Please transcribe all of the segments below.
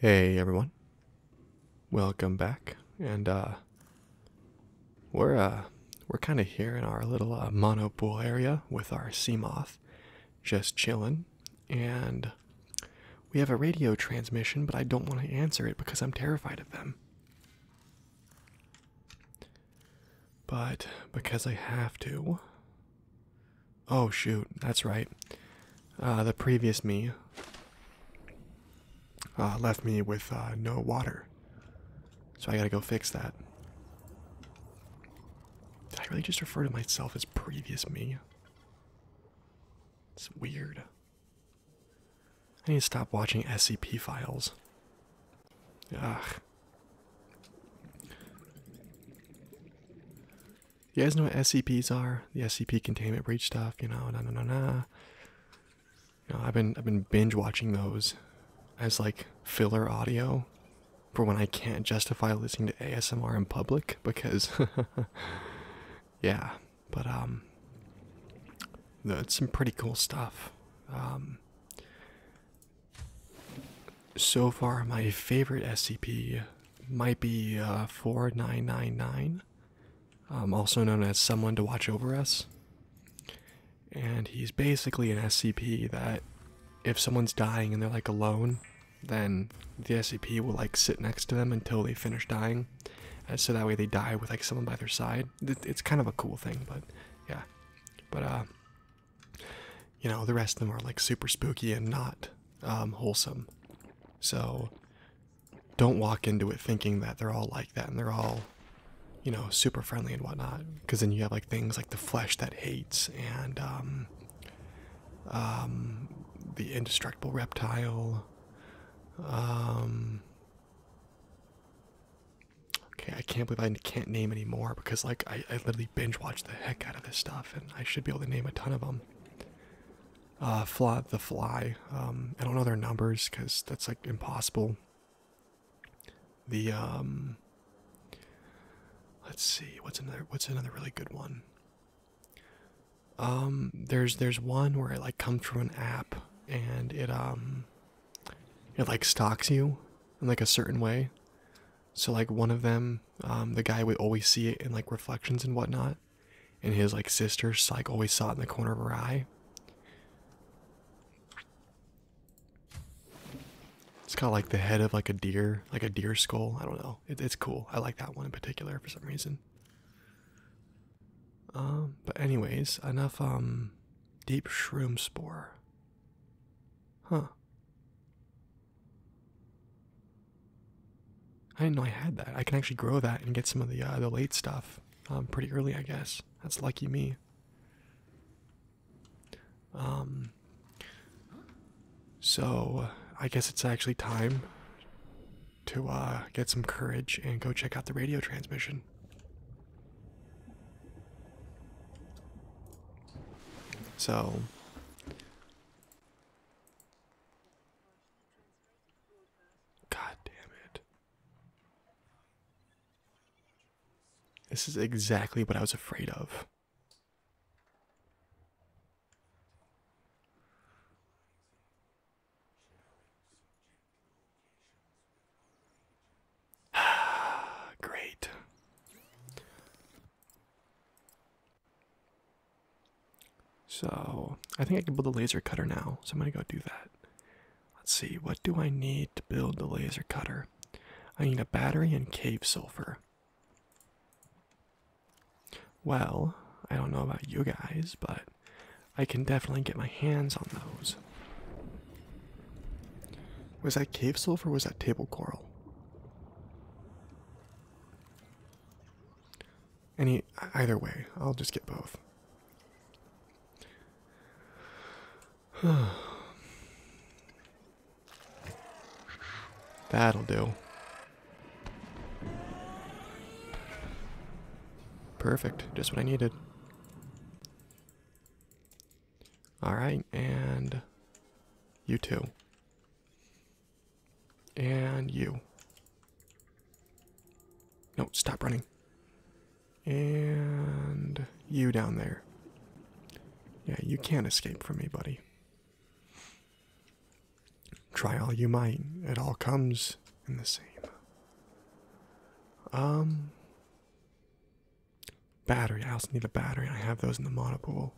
Hey everyone. Welcome back. And uh, we're uh, we're kind of here in our little uh, area with our sea moth just chilling and we have a radio transmission but I don't want to answer it because I'm terrified of them. But because I have to. Oh, shoot, that's right. Uh, the previous me uh, left me with uh, no water. So I gotta go fix that. Did I really just refer to myself as previous me? It's weird. I need to stop watching SCP files. You guys know what SCPs are? The SCP containment breach stuff, you know, na na na na. You know, I've been I've been binge watching those as like filler audio for when I can't justify listening to ASMR in public because yeah, but um that's some pretty cool stuff. Um so far, my favorite SCP might be uh, 4999, um, also known as Someone to Watch Over Us. And he's basically an SCP that if someone's dying and they're like alone, then the SCP will like sit next to them until they finish dying. And uh, so that way they die with like someone by their side. It's kind of a cool thing, but yeah. But uh, you know, the rest of them are like super spooky and not um, wholesome. So don't walk into it thinking that they're all like that and they're all, you know, super friendly and whatnot. Because then you have like things like the flesh that hates and um, um, the indestructible reptile. Okay, I can't believe I can't name anymore because, like, I, I literally binge watched the heck out of this stuff, and I should be able to name a ton of them. Uh, fly, the Fly. Um, I don't know their numbers because that's like impossible. The um, let's see, what's another what's another really good one? Um, there's there's one where it like comes from an app and it um it like stalks you in like a certain way. So like one of them, um, the guy would always see it in like reflections and whatnot, and his like sister like always saw it in the corner of her eye. It's has got like the head of like a deer, like a deer skull. I don't know. it's cool. I like that one in particular for some reason. Um, but anyways, enough um deep shroom spore. Huh. I didn't know I had that. I can actually grow that and get some of the uh, the late stuff um, pretty early, I guess. That's lucky me. Um. So I guess it's actually time to uh, get some courage and go check out the radio transmission. So God damn it. This is exactly what I was afraid of. Great. So, I think I can build a laser cutter now, so I'm gonna go do that. Let's see, what do I need to build the laser cutter? I need a battery and cave sulfur. Well, I don't know about you guys, but I can definitely get my hands on those. Was that cave silver was that table coral? Any either way, I'll just get both. That'll do. Perfect, just what I needed. All right, and you too. And you. No, stop running. And you down there. Yeah, you can't escape from me, buddy. Try all you might. It all comes in the same. Um Battery. I also need a battery. I have those in the monopool.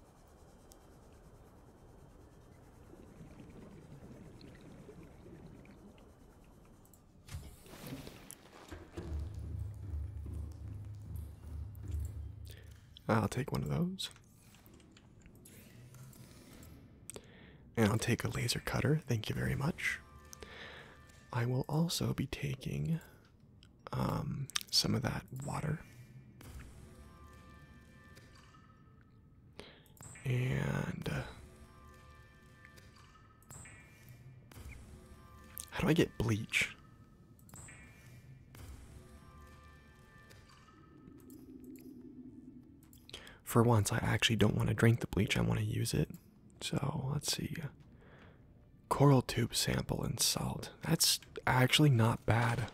I'll take one of those. And I'll take a laser cutter. Thank you very much. I will also be taking um, some of that water. And uh, how do I get bleach? For once, I actually don't want to drink the bleach, I want to use it. So let's see. Coral tube sample and salt. That's actually not bad.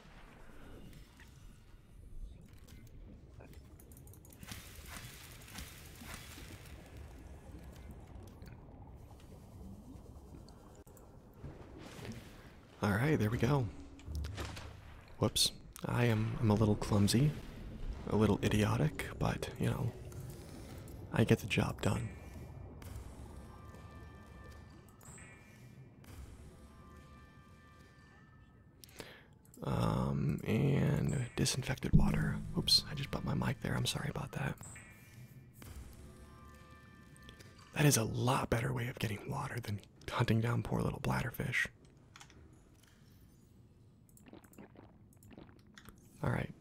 All right, there we go. Whoops. I am I'm a little clumsy, a little idiotic, but you know, I get the job done. Um, and disinfected water. Oops, I just bought my mic there. I'm sorry about that. That is a lot better way of getting water than hunting down poor little bladderfish. All right.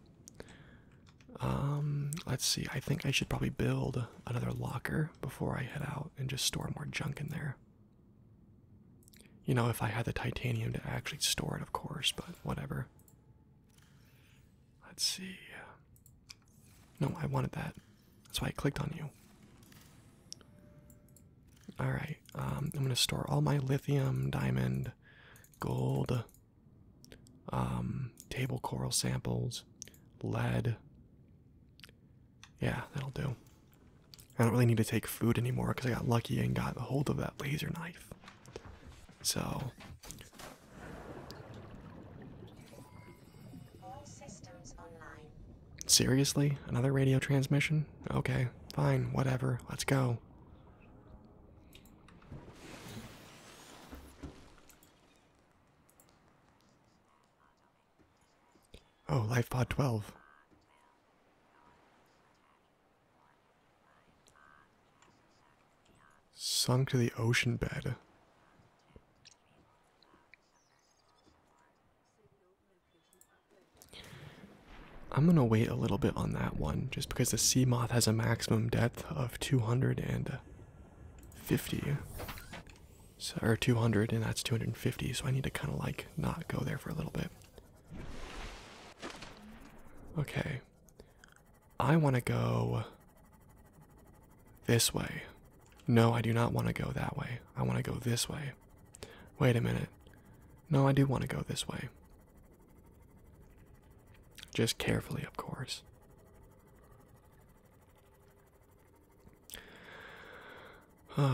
Um, let's see. I think I should probably build another locker before I head out and just store more junk in there. You know, if I had the titanium to actually store it, of course, but whatever. Let's see. No, I wanted that. That's why I clicked on you. All right. Um, I'm going to store all my lithium, diamond, gold, um, table coral samples, lead. Yeah, that'll do. I don't really need to take food anymore because I got lucky and got a hold of that laser knife. So. Seriously? Another radio transmission? Okay, fine, whatever. Let's go. Oh, life pod 12. Sunk to the ocean bed. I'm gonna wait a little bit on that one just because the sea moth has a maximum depth of 250 or 200 and that's 250 so I need to kind of like not go there for a little bit. Okay. I want to go this way. No, I do not want to go that way. I want to go this way. Wait a minute. No, I do want to go this way. Just carefully, of course.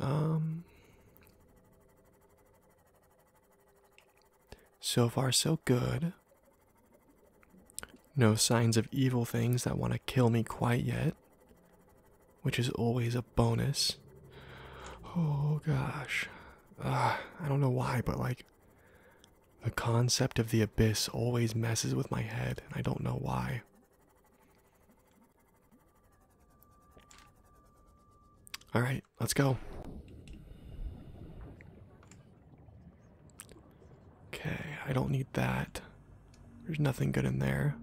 um so far so good no signs of evil things that want to kill me quite yet which is always a bonus. Oh gosh. Ah, I don't know why, but like the concept of the abyss always messes with my head, I don't know why. Alright, let's go. Okay, I don't need that. There's nothing good in there.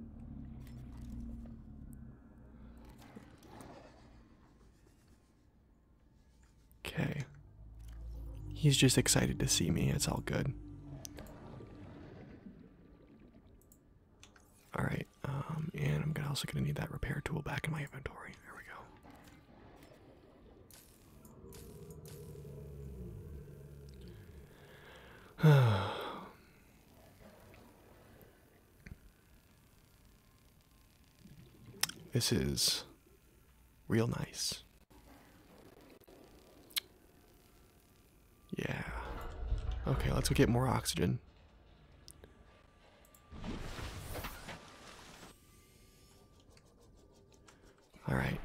Okay. He's just excited to see me. It's all good. All right. Um, and I'm also gonna need that repair tool back in my inventory. There we go. This is real nice. Yeah. Okay, let's go get more oxygen. Alright.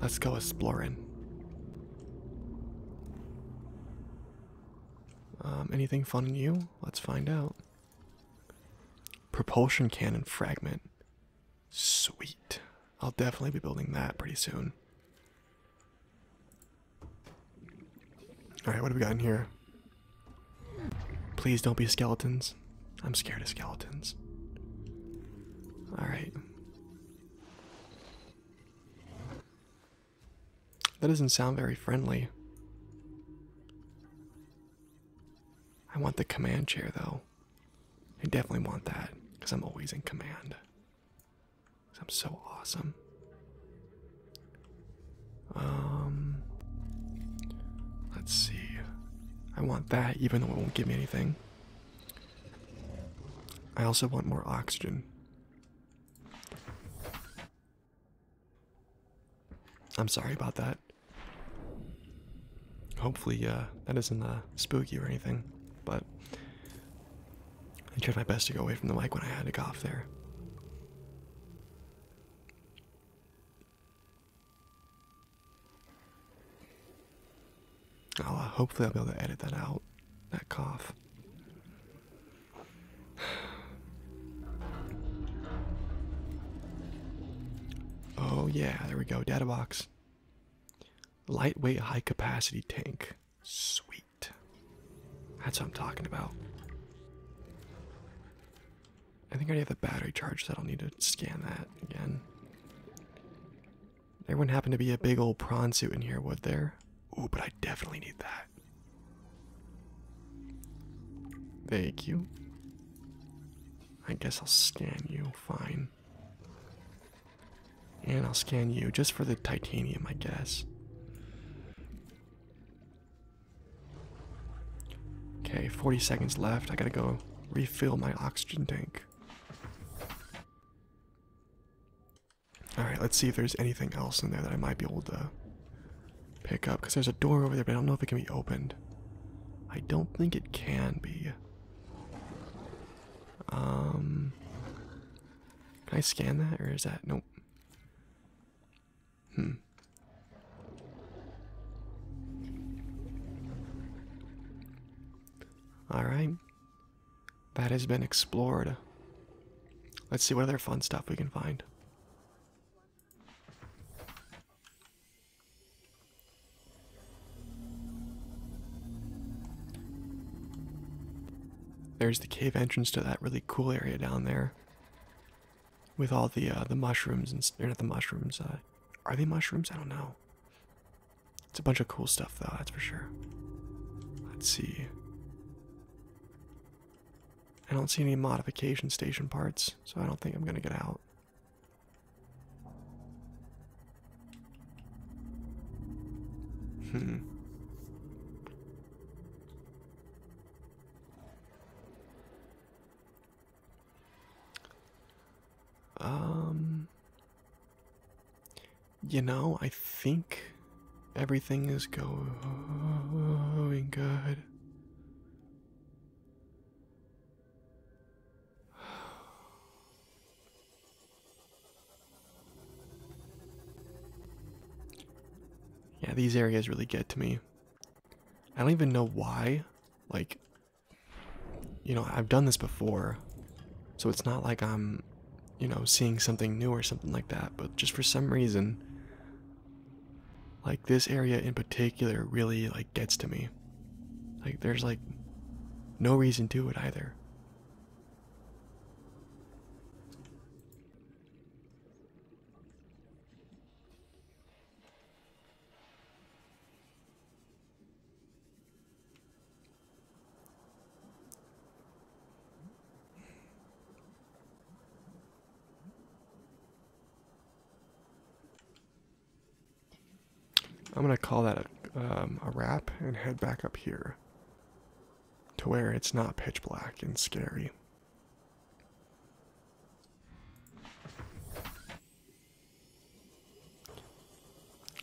Let's go exploring. Um, anything fun in you? Let's find out. Propulsion cannon fragment. Sweet. I'll definitely be building that pretty soon. Alright, what have we got in here? Please don't be skeletons. I'm scared of skeletons. Alright. That doesn't sound very friendly. I want the command chair though. I definitely want that because I'm always in command. i I'm so awesome. Um, let's see. I want that even though it won't give me anything. I also want more oxygen. I'm sorry about that. Hopefully, uh, that isn't uh, spooky or anything, but I tried my best to go away from the mic when I had to cough there. Uh, hopefully, I'll be able to edit that out, that cough. Oh yeah, there we go. Data box. Lightweight high capacity tank. Sweet. That's what I'm talking about. I think I already have the battery charge, so I don't need to scan that again. There wouldn't happen to be a big old prawn suit in here, would there? there. Ooh, but I definitely need that. Thank you. I guess I'll scan you, fine. And I'll scan you just for the titanium, I guess. Okay, 40 seconds left. I gotta go refill my oxygen tank. Alright, let's see if there's anything else in there that I might be able to pick up. Because there's a door over there, but I don't know if it can be opened. I don't think it can be. Um. Can I scan that, or is that. Nope. Hmm. Alright that has been explored. Let's see what other fun stuff we can find. There's the cave entrance to that really cool area down there, with all the uh, the mushrooms and they're the mushrooms. Uh, are they mushrooms? I don't know. It's a bunch of cool stuff though, that's for sure. Let's see. I don't see any modification station parts, so I don't think I'm going to get out. Hmm. Um you know, I think everything is going good. Yeah, these areas really get to me. I don't even know why. Like, you know, I've done this before. So it's not like I'm you know, seeing something new or something like that, but just for some reason, like this area in particular really like gets to me. Like there's like no reason to it either. I'm going to call that um, a, wrap and head back up here to where it's not pitch black and scary.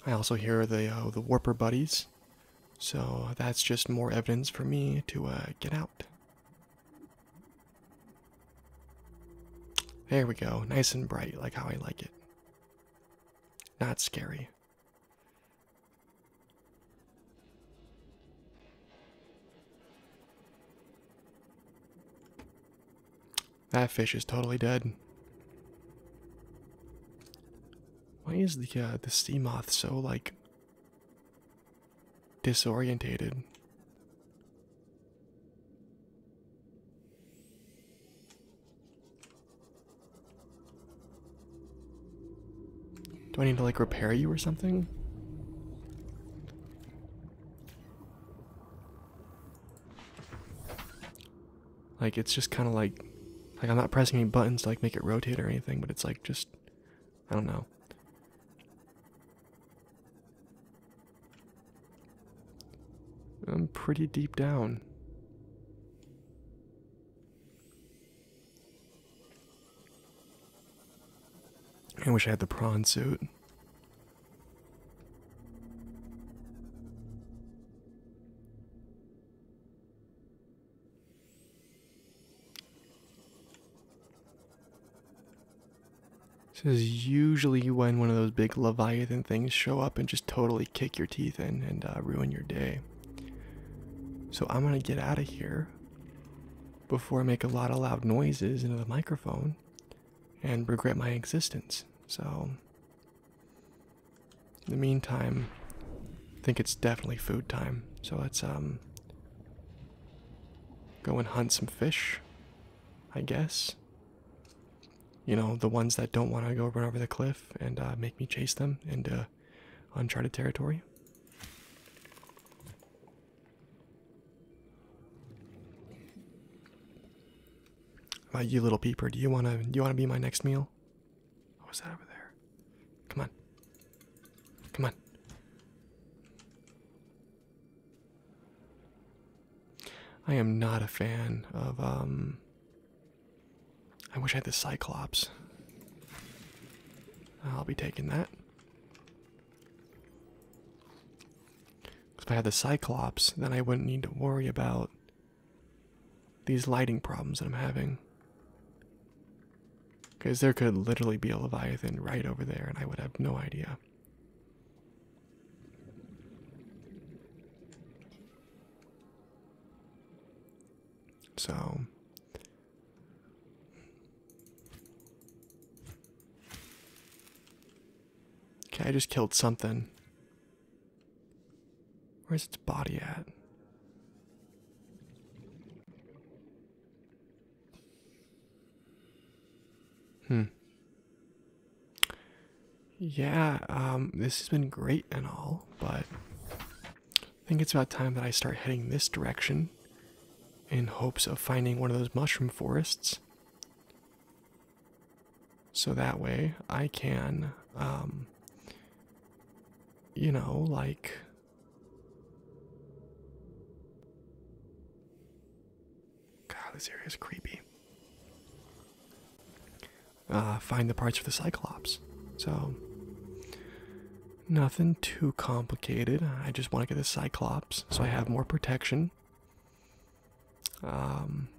I also hear the uh, the warper buddies so that's just more evidence for me to uh, get out. There we go, nice and bright, like how I like it. Not scary. That fish is totally dead. Why is the uh, the sea moth so like disorientated? Do I need to like repair you or something? Like it's just kind of like, like I'm not pressing any buttons to like make it rotate or anything, but it's like just, I don't know. I'm pretty deep down. I wish I had the prawn suit. This is usually when one of those big Leviathan things show up and just totally kick your teeth in and uh, ruin your day. So I'm gonna get out of here before I make a lot of loud noises into the microphone and regret my existence. So in the meantime, I think it's definitely food time. So let's um go and hunt some fish, I guess. You know, the ones that don't want to go run over the cliff and uh, make me chase them into uncharted territory. Uh, you little peeper, do you wanna do you wanna be my next meal? What was that over there? Come on. Come on. I am not a fan of, um. I wish I had the Cyclops. I'll be taking that. if I had the Cyclops, then I wouldn't need to worry about these lighting problems that I'm having. Because there could literally be a Leviathan right over there, and I would have no idea. So. Okay, I just killed something. Where's its body at? Hmm. Yeah, um, this has been great and all, but I think it's about time that I start heading this direction in hopes of finding one of those mushroom forests. So that way I can um, you know, like. God, this area is creepy. Uh, find the parts for the Cyclops. So, nothing too complicated. I just want to get the Cyclops so I have more protection. Um,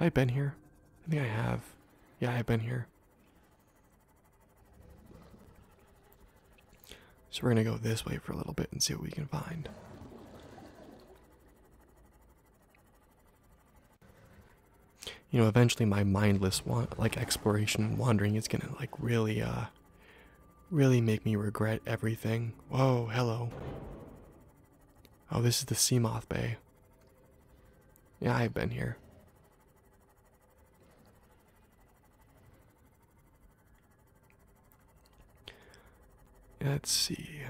I've been here. I think I have. Yeah, I've been here. So we're going to go this way for a little bit and see what we can find. You know, eventually my mindless want like exploration wandering is going to like really uh really make me regret everything. Whoa, hello. Oh, this is the Sea Moth Bay. Yeah, I've been here. Let's see.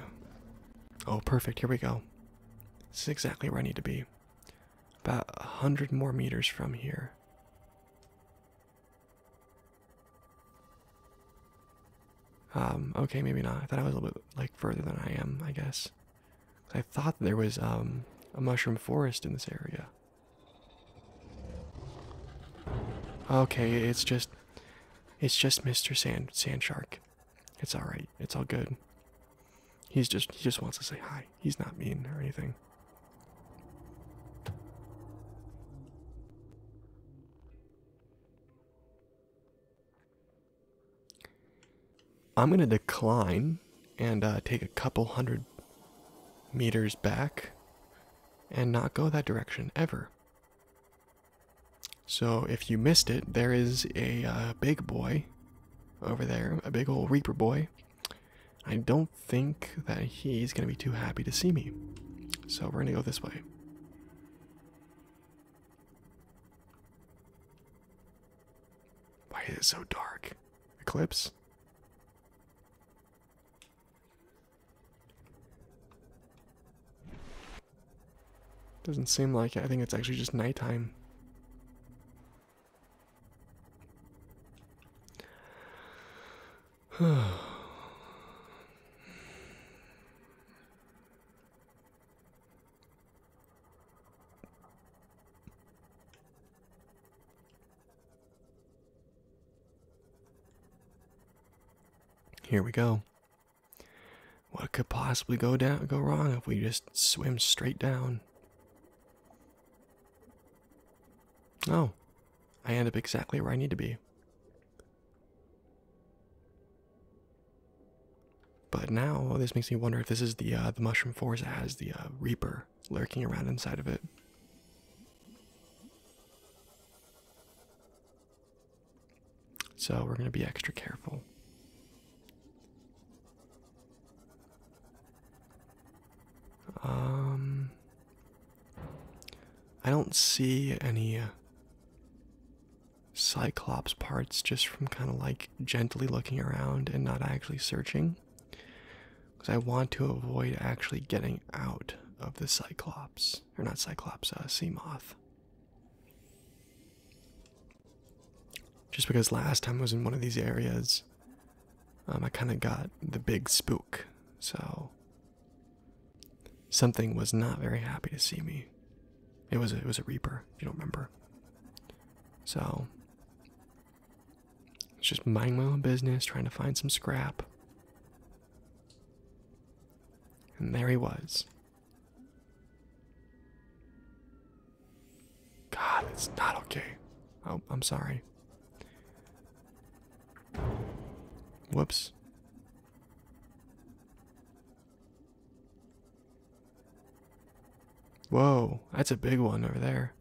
Oh, perfect. Here we go. This is exactly where I need to be. About a hundred more meters from here. Um, okay, maybe not. I thought I was a little bit like further than I am, I guess. I thought there was um, a mushroom forest in this area. Okay, it's just, it's just Mr. Sand Sand Shark. It's all right. It's all good. He's just he just wants to say hi. He's not mean or anything. I'm going to decline and uh, take a couple hundred meters back and not go that direction ever. So if you missed it, there is a uh, big boy over there, a big old Reaper boy. I don't think that he's going to be too happy to see me. So we're going to go this way. Why is it so dark? Eclipse? Doesn't seem like it. I think it's actually just nighttime. Here we go. What could possibly go down go wrong if we just swim straight down? Oh, I end up exactly where I need to be. But now this makes me wonder if this is the uh, the mushroom forest that has the uh, reaper lurking around inside of it. So we're gonna be extra careful. Um, I don't see any uh, Cyclops parts just from kind of like gently looking around and not actually searching. Because I want to avoid actually getting out of the Cyclops. Or not Cyclops, uh, Sea Moth. Just because last time I was in one of these areas, um, I kind of got the big spook. So something was not very happy to see me. It was a, it was a Reaper. you don't remember. So it's just minding my own business, trying to find some scrap. And there he was. God, it's not okay. Oh, I'm sorry. Whoops. Whoa, that's a big one over there.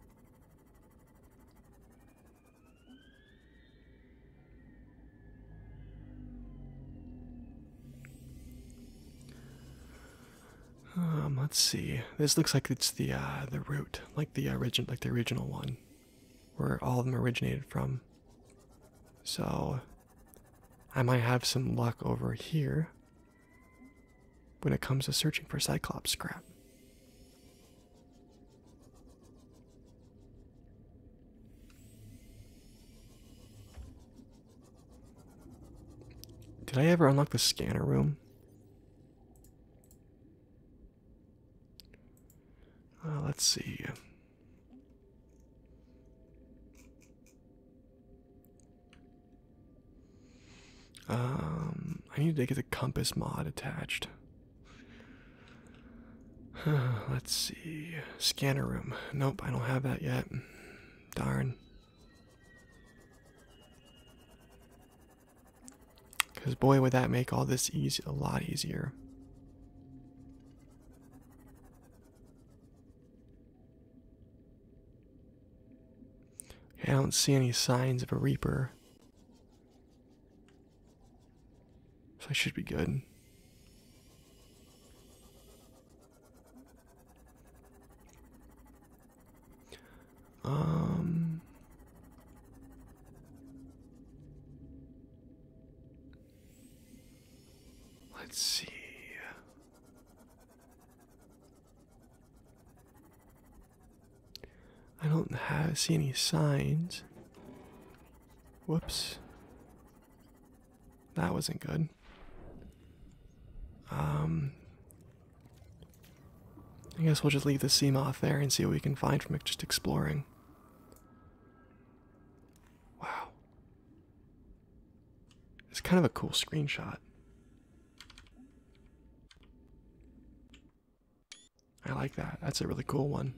Um, let's see. This looks like it's the uh, the root, like the origin, like the original one, where all of them originated from. So I might have some luck over here when it comes to searching for Cyclops scrap. Did I ever unlock the scanner room? Uh, let's see. Um, I need to get the compass mod attached. Let's see. Scanner room. Nope, I don't have that yet. Darn. Because boy, would that make all this easy a lot easier. I don't see any signs of a reaper. So I should be good. Um Let's see. I don't have, see any signs. Whoops. That wasn't good. Um, I guess we'll just leave the Seamoth there and see what we can find from it just exploring. Wow. It's kind of a cool screenshot. I like that. That's a really cool one.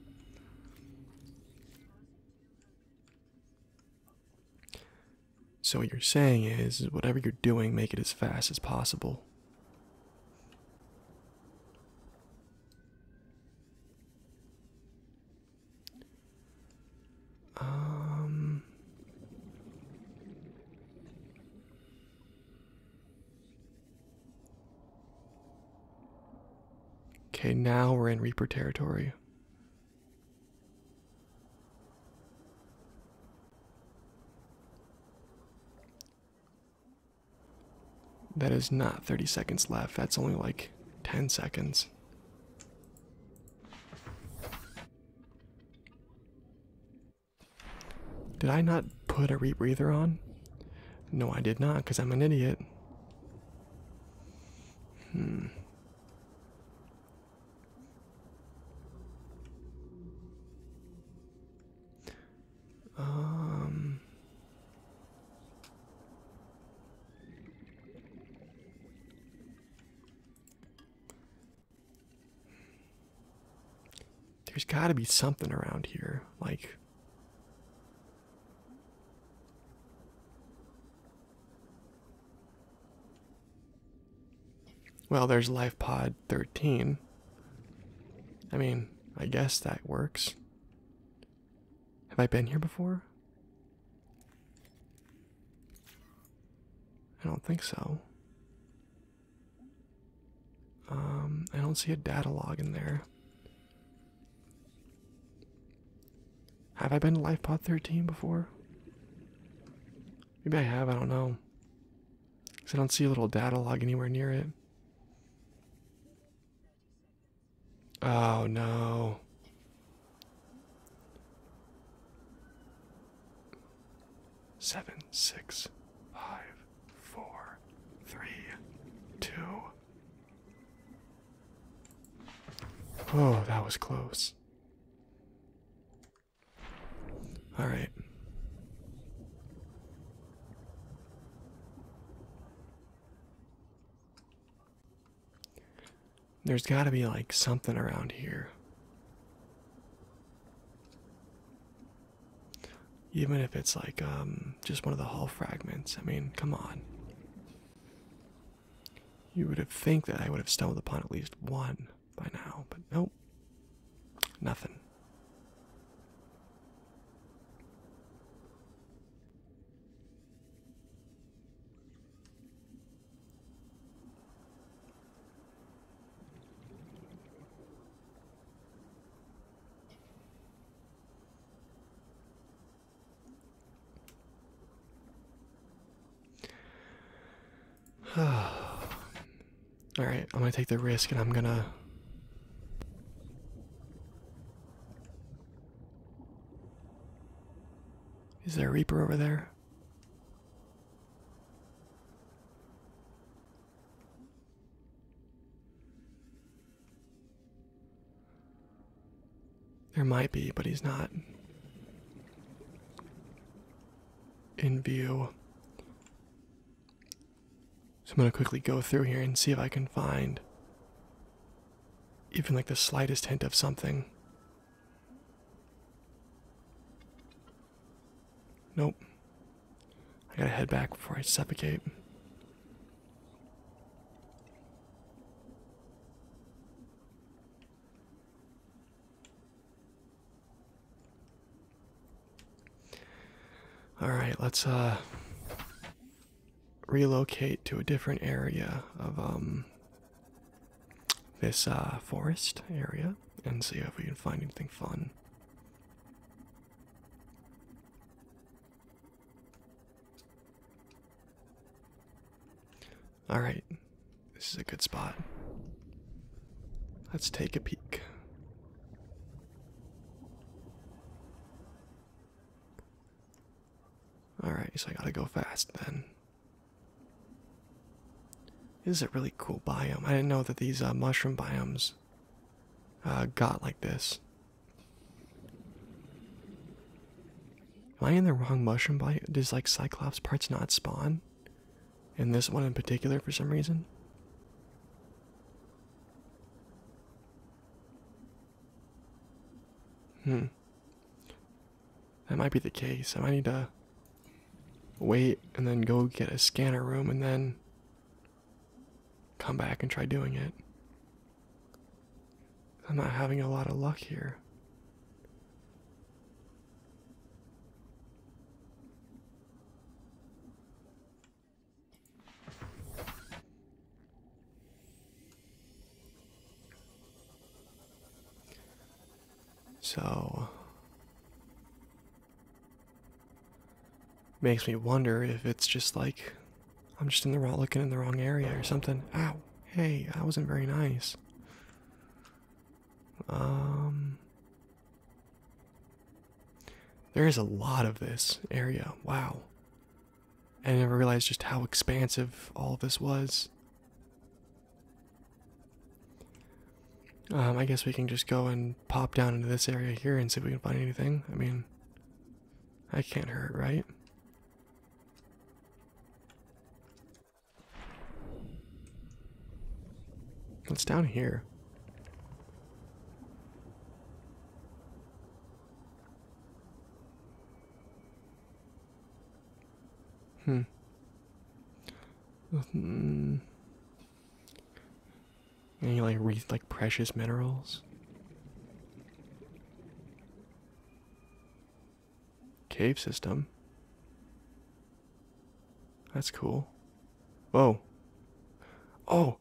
So what you're saying is, is whatever you're doing, make it as fast as possible. Um, okay, now we're in Reaper territory. That is not 30 seconds left. That's only like 10 seconds. Did I not put a rebreather on? No, I did not, because I'm an idiot. Hmm. Um. There's got to be something around here. Like. Well, there's Life Pod 13. I mean, I guess that works. Have I been here before? I don't think so. Um, I don't see a data log in there. Have I been to LifePod 13 before? Maybe I have, I don't know. Because I don't see a little data log anywhere near it. Oh no. Seven, six, five, four, three, two. Oh, that was close. All right. There's got to be like something around here. Even if it's like um, just one of the hull fragments. I mean, come on. You would have think that I would have stumbled upon at least one by now, but nope. Nothing. Alright, I'm gonna take the risk and I'm gonna. Is there a Reaper over there? There might be, but he's not in view. So I'm going to quickly go through here and see if I can find even like the slightest hint of something. Nope. I gotta head back before I suffocate. All right, let's uh relocate to a different area of um this uh, forest area and see if we can find anything fun. Alright, this is a good spot. Let's take a peek. Alright, so I gotta go fast then. This is a really cool biome. I didn't know that these uh, mushroom biomes uh, got like this. Am I in the wrong mushroom biome? Does like Cyclops parts not spawn? And this one in particular for some reason? Hmm. That might be the case. I might need to wait and then go get a scanner room and then come back and try doing it. I'm not having a lot of luck here. So makes me wonder if it's just like I'm just in the wrong looking in the wrong area or something. Ow. Hey, I wasn't very nice. Um There is a lot of this area. Wow. I never realized just how expansive all of this was. Um, I guess we can just go and pop down into this area here and see if we can find anything. I mean, I can't hurt, right? What's down here? Hmm. Mm. And you like read like precious minerals. Cave system. That's cool. Whoa. Oh.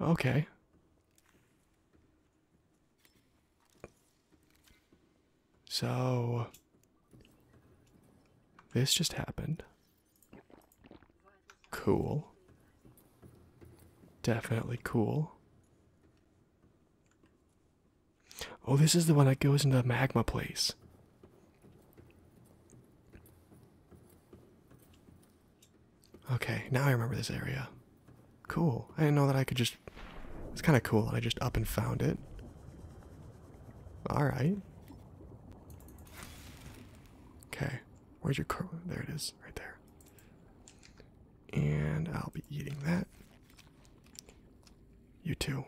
Okay. So this just happened. Cool. Definitely cool. Oh, this is the one that goes into the magma place. Okay, now I remember this area. Cool. I didn't know that I could just. It's kind of cool that I just up and found it. Alright. Okay. Where's your crow? There it is, right there. And I'll be eating that. You too.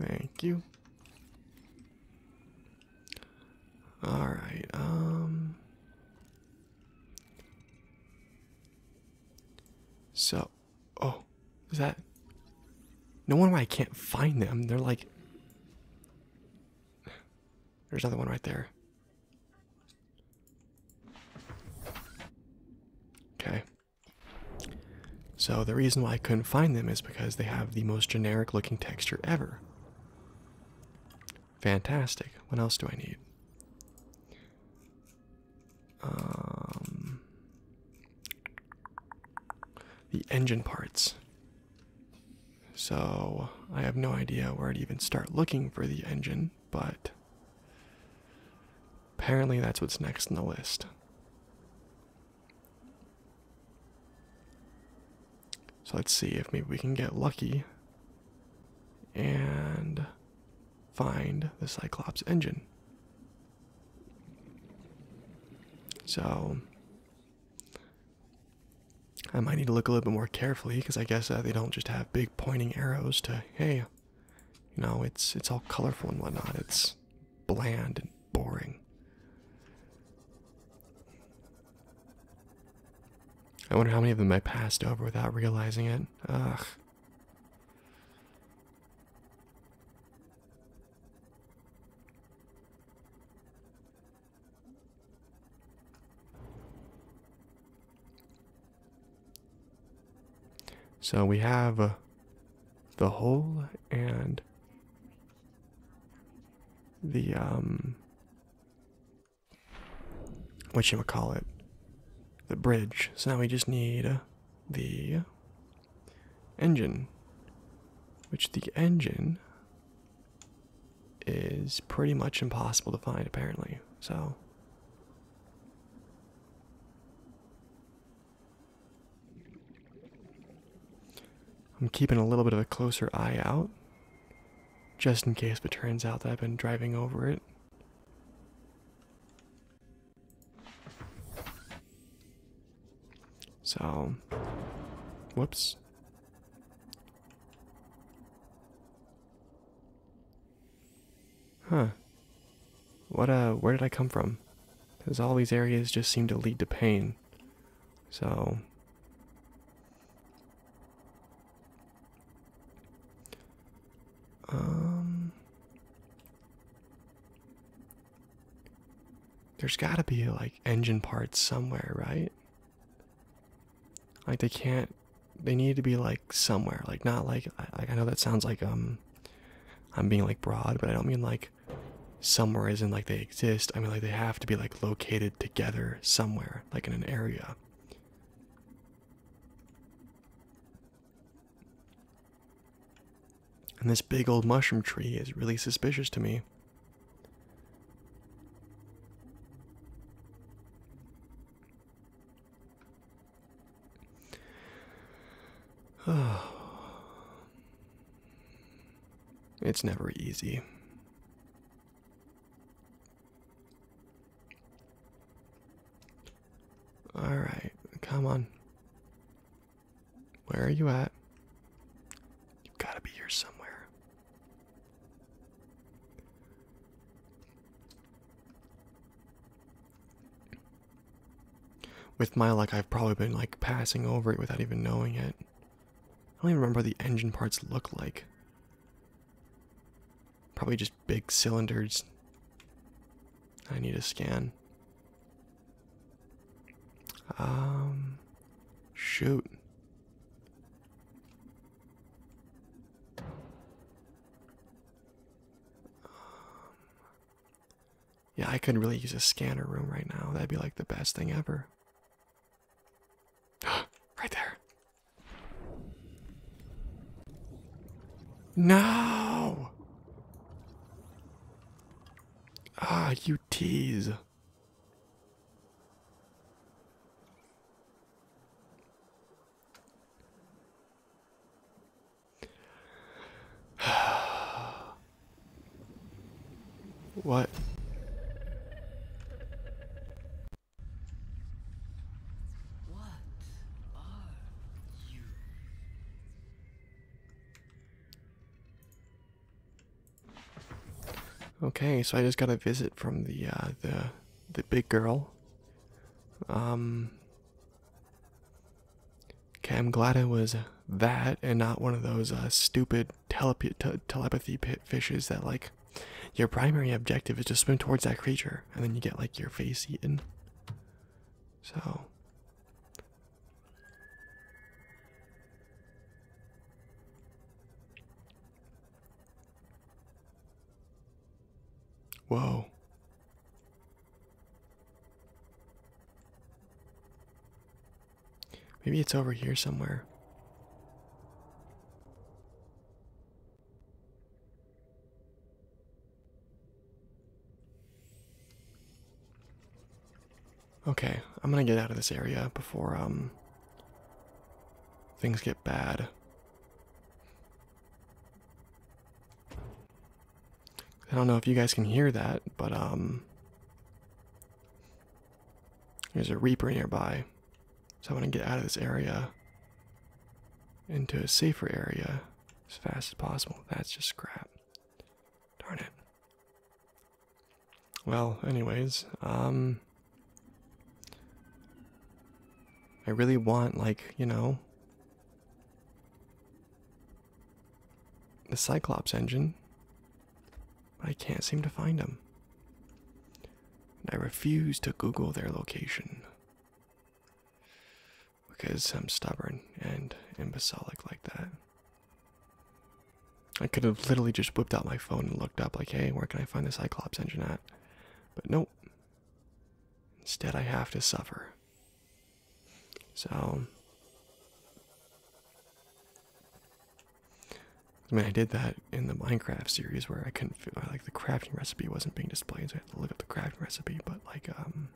Thank you. All right. Um So, oh, is that No wonder I can't find them. They're like There's another one right there. Okay. So the reason why I couldn't find them is because they have the most generic looking texture ever. Fantastic. What else do I need? Um, the engine parts. So I have no idea where to even start looking for the engine, but Apparently, that's what's next in the list. So let's see if maybe we can get lucky and find the Cyclops engine. So I might need to look a little bit more carefully because I guess uh, they don't just have big pointing arrows to, hey, you know, it's it's all colorful and whatnot. It's bland and boring. I wonder how many of them I passed over without realizing it. Ugh. So we have uh, the hole and the um what you call it the bridge so now we just need uh, the engine which the engine is pretty much impossible to find apparently so I'm keeping a little bit of a closer eye out, just in case it turns out that I've been driving over it. So, whoops. Huh. What, uh, where did I come from? Because all these areas just seem to lead to pain. So. Um. There's gotta be, like, engine parts somewhere, right? Like, they can't. They need to be, like, somewhere. Like, not like. I, I know that sounds like, um. I'm being like broad, but I don't mean like somewhere isn't like they exist. I mean like they have to be like located together somewhere, like in an area. And this big old mushroom tree is really suspicious to me. it's never easy. All right, come on. Where are you at? You've got to be here somewhere. With my luck, I've probably been like passing over it without even knowing it. I don't even remember what the engine parts look like. Probably just big cylinders. I need a scan. Um, shoot. Yeah, I could really use a scanner room right now. That'd be like the best thing ever. right there. No! Ah, you tease. what? What are you? Okay, so I just got a visit from the uh, the the big girl. Um, Okay, I'm glad it was that and not one of those uh, stupid telepathy pit fishes that, like, your primary objective is to swim towards that creature and then you get, like, your face eaten. So. Whoa. Maybe it's over here somewhere. Okay, I'm gonna get out of this area before um things get bad. I don't know if you guys can hear that, but um there's a reaper nearby. So I want to get out of this area into a safer area as fast as possible. That's just crap. Darn it. Well, anyways, um I really want like, you know, the Cyclops engine, I can't seem to find them. I refuse to Google their location because I'm stubborn and imbecilic like that. I could have literally just whipped out my phone and looked up, like, hey, where can I find the Cyclops engine at? But nope. Instead, I have to suffer. So, I mean, I did that in the Minecraft series where I couldn't feel like the crafting recipe wasn't being displayed, so I had to look up the crafting recipe, but like, um,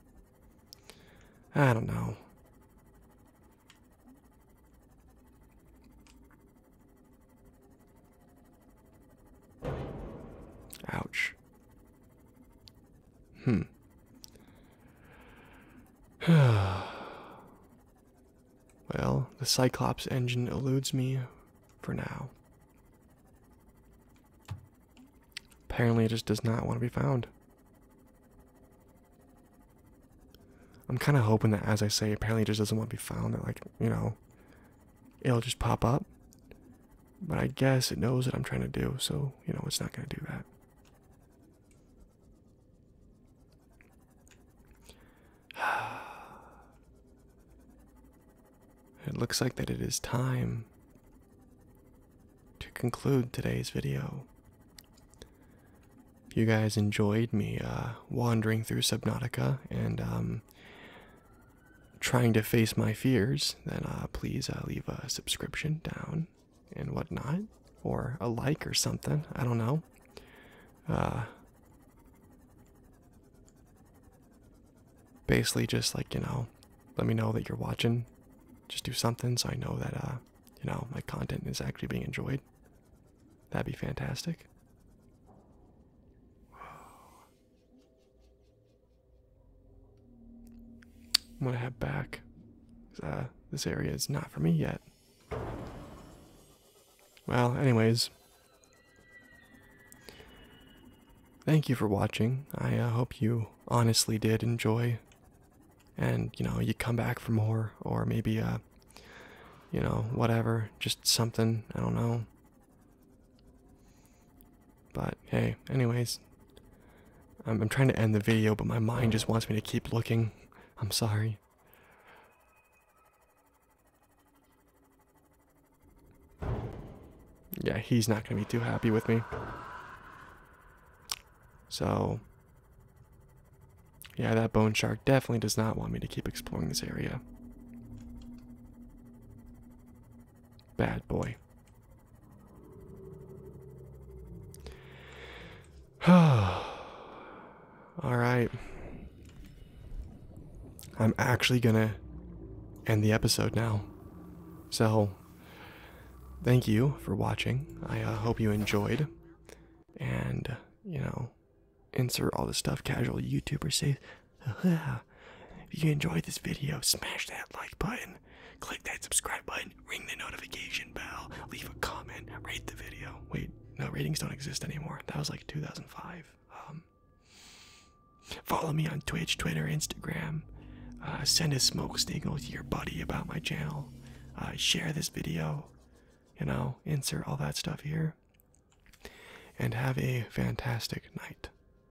I don't know. Ouch. Hmm. well, the Cyclops engine eludes me for now. Apparently, it just does not want to be found. I'm kind of hoping that, as I say, apparently it just doesn't want to be found, like, you know, it'll just pop up. But I guess it knows what I'm trying to do, so, you know, it's not going to do that. It looks like that it is time to conclude today's video. you guys enjoyed me uh, wandering through Subnautica and um, trying to face my fears, then uh, please uh, leave a subscription down and whatnot, or a like or something. I don't know. Uh, basically, just like you know, let me know that you're watching. Just do something so I know that you know my content is actually being enjoyed. That'd be fantastic. I'm gonna head back. Uh, this area is not for me yet. Well, anyways. Thank you for watching. I uh, hope you honestly did enjoy. And, you know, you come back for more, or maybe, uh, you know, whatever. Just something. I don't know. But hey, anyways, I'm, trying to end the video, but my mind just wants me to keep looking. I'm sorry. Yeah, he's not going to be too happy with me. So, yeah, that bone shark definitely does not want me to keep exploring this area. Bad boy. All right. I'm actually going to end the episode now. So, thank you for watching. I uh, hope you enjoyed. And, you know, insert all the stuff casual YouTubers say. If you enjoyed this video, smash that like button, click that subscribe button, ring the notification bell, leave a comment, rate the video. Wait, no, ratings don't exist anymore. That was like 2005. Um, follow me on Twitch, Twitter, Instagram. Uh, send a smoke signal to your buddy about my channel. Uh, share this video. You know, insert all that stuff here. And have a fantastic night.